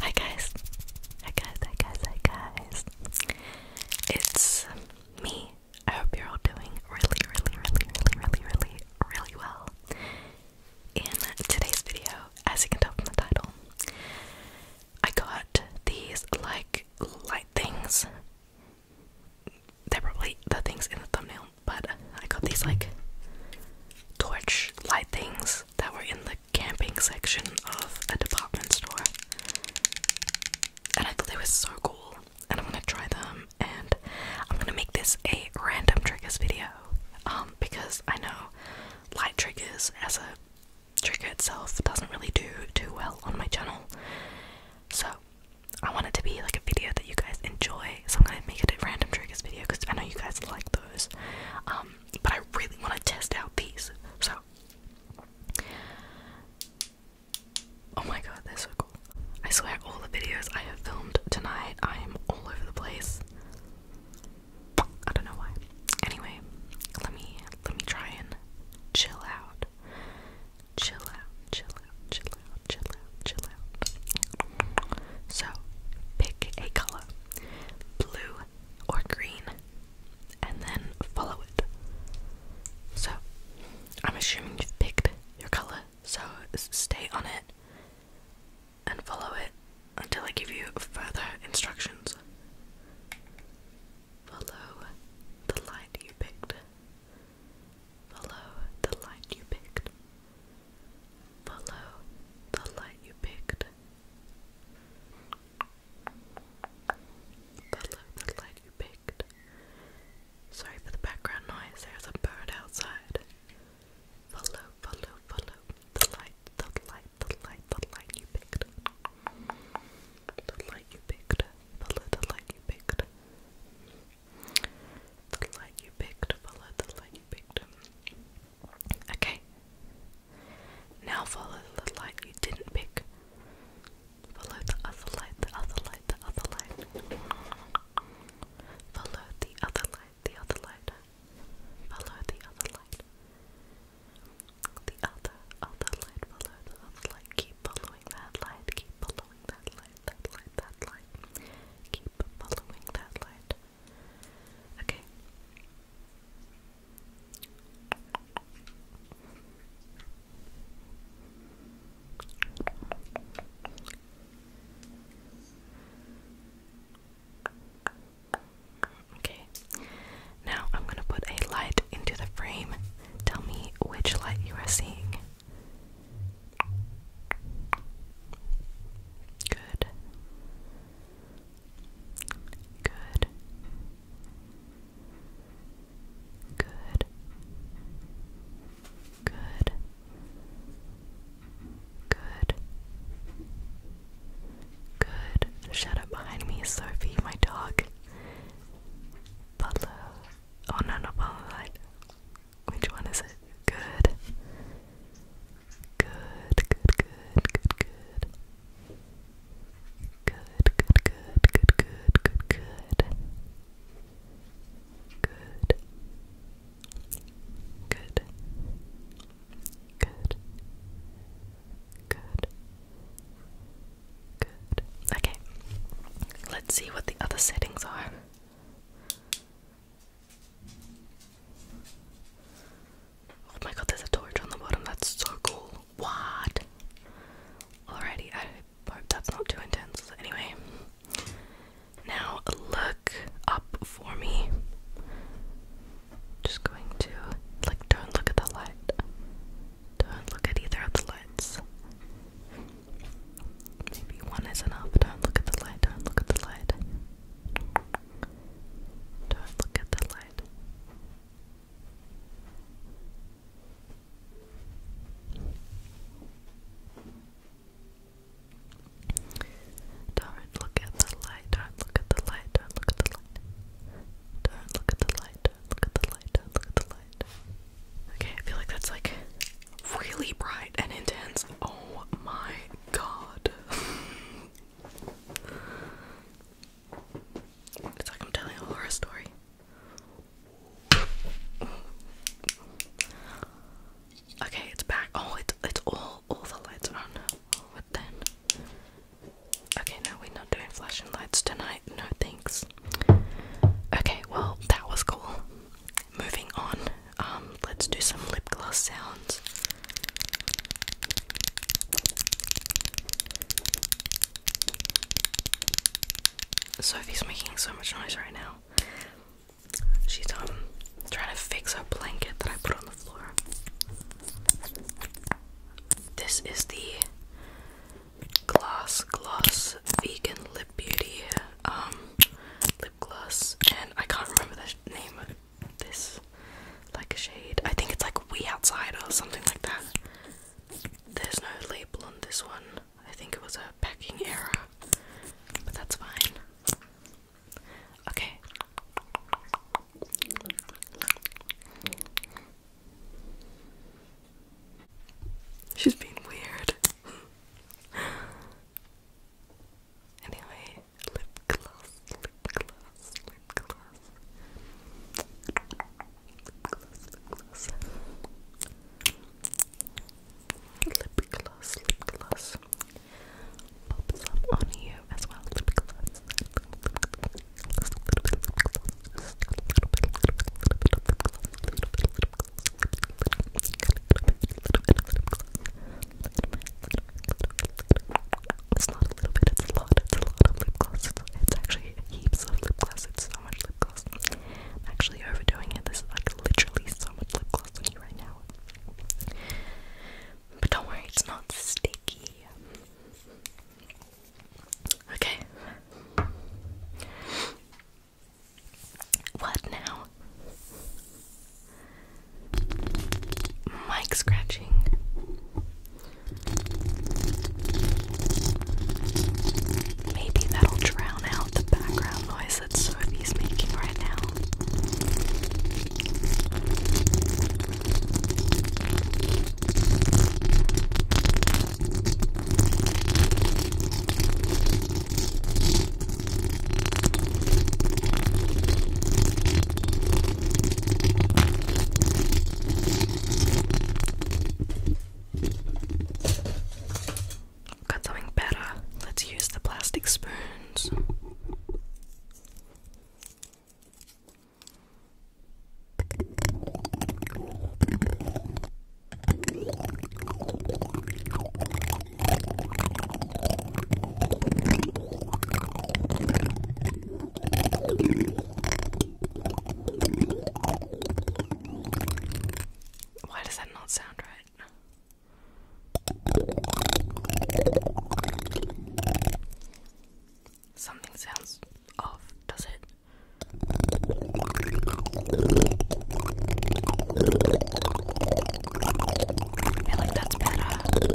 Hi guys. Hi guys, hi guys, hi guys. It's me. I hope you're all doing really, really, really, really, really, really, really well. In today's video, as you can tell from the title, I got these like things. They're probably the things in the thumbnail, but I got these like torch light things that were in the camping section of a department store. And I thought they were so cool. And I'm gonna try them and I'm gonna make this a random triggers video. Um, because I know light triggers as a trigger itself doesn't really do too well on my channel. So I want it to be like a video that you guys enjoy. So I'm gonna make it a random triggers video because I know you guys like those. Um, but I really want to test out these. So oh my god, they're so cool! I swear, all the videos I have filmed tonight, I am all over the place. I don't know why. Anyway, let me let me try and chill out. Chill out, chill out, chill out, chill out, chill out. So, pick a color, blue or green, and then follow it. So, I'm assuming you've picked your color, so stay on it and follow it until I give you further instructions. Follow the light you picked. Follow the light you picked. Follow the light you picked. Follow the light you picked. Sorry for the background noise, there's a bird outside. Follow, follow, follow the light, the light, the light, the light you picked. The light you picked. The, the light you picked. The light you picked, follow the light you picked. Okay. Now follow the light you didn't pick. Follow the other light, the other light, the other light. Follow the other light, the other light. Follow the other light the other, other light, follow the other light, keep following that light, keep following that light, that light, that light, keep following that light. Okay. Okay. Now I'm going to put a light into the frame. Tell me which light you are seeing. Good. Good. Good. Good. Good. Good. Shut up behind me, Sophie, my dog. Butler. Oh no, not Butler Which one is it? Good, good, good, good, good, good, good. Good. Good. Good. Good. Good. Good. Okay. Let's see what the other settings are. Oh my god, there's a torch on the bottom. That's so cool. What? Alrighty, I hope that's not too intense. Anyway, now look up for me. Just going to like don't look at the light. Don't look at either of the lights. Maybe one is enough. Don't look at the light. Don't look at the light. Don't look at the light. Don't look at the light. Don't look at the light. Don't look at the light look at the light, look at the light, look at the light. Okay, I feel like that's like really bright and intense. Oh my god. it's like I'm telling a horror story. Okay, it's back. Oh, it's it's all all the lights are on. What then? Okay, no, we're not doing flashing lights tonight. No thanks. Okay, well, that was cool. Moving on, um, let's do some lip gloss sounds. Sophie's making so much noise right now. She's um trying to fix her blanket that I put on the floor. This is the Gloss Gloss Vegan Lip Beauty um, lip gloss, and I can't remember the name of this like a shade. I think it's like We Outside or something like that. There's no label on this one. I think it was a packing error, but that's fine. Okay. She's being weird. anyway, lip gloss, lip gloss, lip gloss. Lip gloss, lip gloss. Lip gloss, on you as well. It's a lot, of lip gloss. It's, actually heaps of lip gloss, it's so much lip gloss. I'm actually overdoing it. This like literally so much lip gloss on you right now. But don't worry, it's not sticky. Okay. What now? Mic scratching. Maybe that'll drown out the background noise that Sophie's making right now. Got something better. Let's use the plastic spoons. Why does that not sound right? Something sounds off, does it? I feel that's better.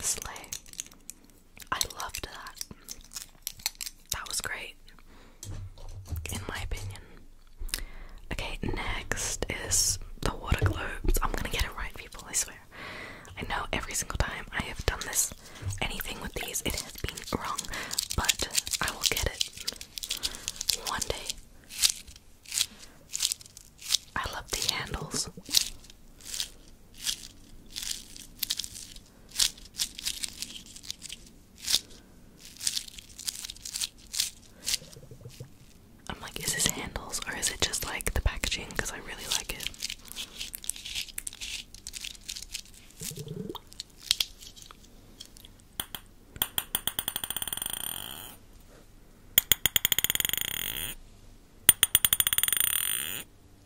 Slay. I loved that. That was great, in my opinion. Okay, next is the water globes. I'm gonna get it right, people, I swear. I know every single time I have done this, anything with these, it has been wrong, but I will get it one day. I love the handles. I'm like, is this handles or is it just like the packaging? Because I really like it.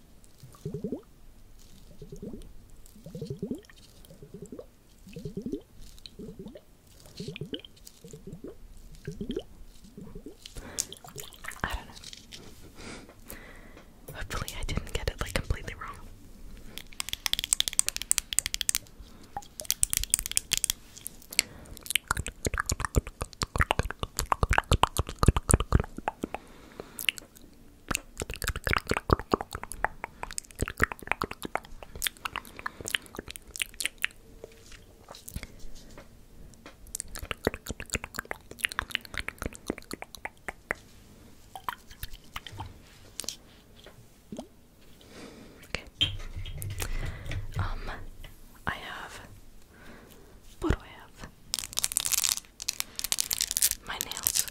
I don't know. Hopefully, I didn't get it like completely wrong. Okay. Um, I have. What do I have? my nails.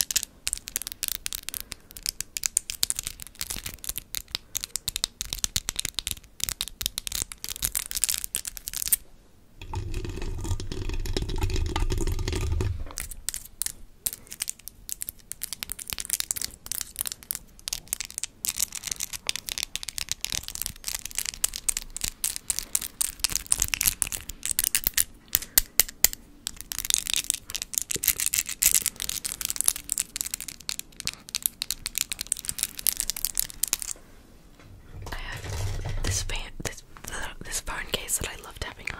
I have this fan, this this phone case that I love tapping on.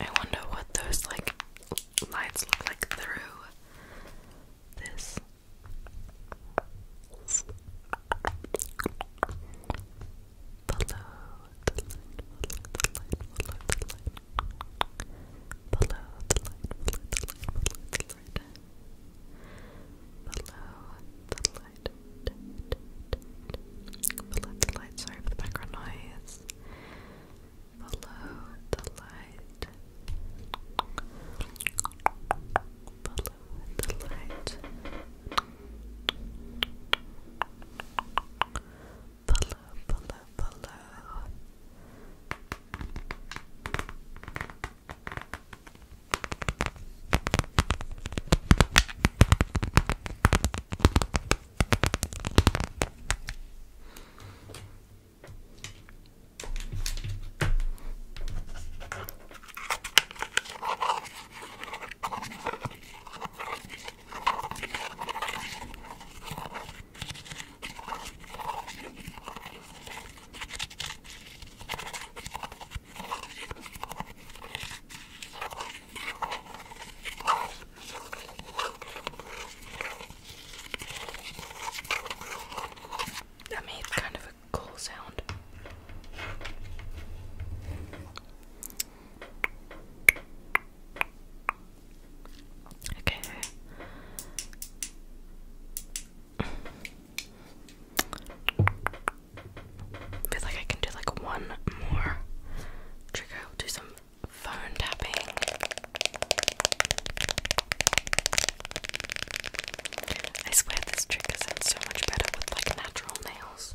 I wonder what those like lights look like through this below the light, below the light, below the light, sorry for the background noise, below the light, below the light below, below, below. That made kind of a cool sound. Okay. I like I can do like one more trigger. do some phone tapping. I swear this trigger sounds so much better with like natural nails.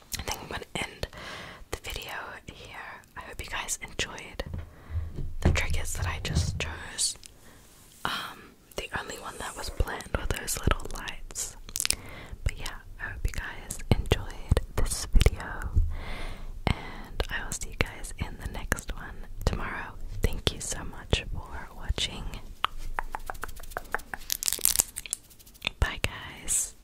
I think I'm going to end the video here. I hope you guys enjoyed the triggers that I just chose. Um, the only one that was planned were those little lights. But yeah, I hope you guys enjoyed this video. And I will see you guys in the next one tomorrow. Thank you so much for watching. Bye, guys.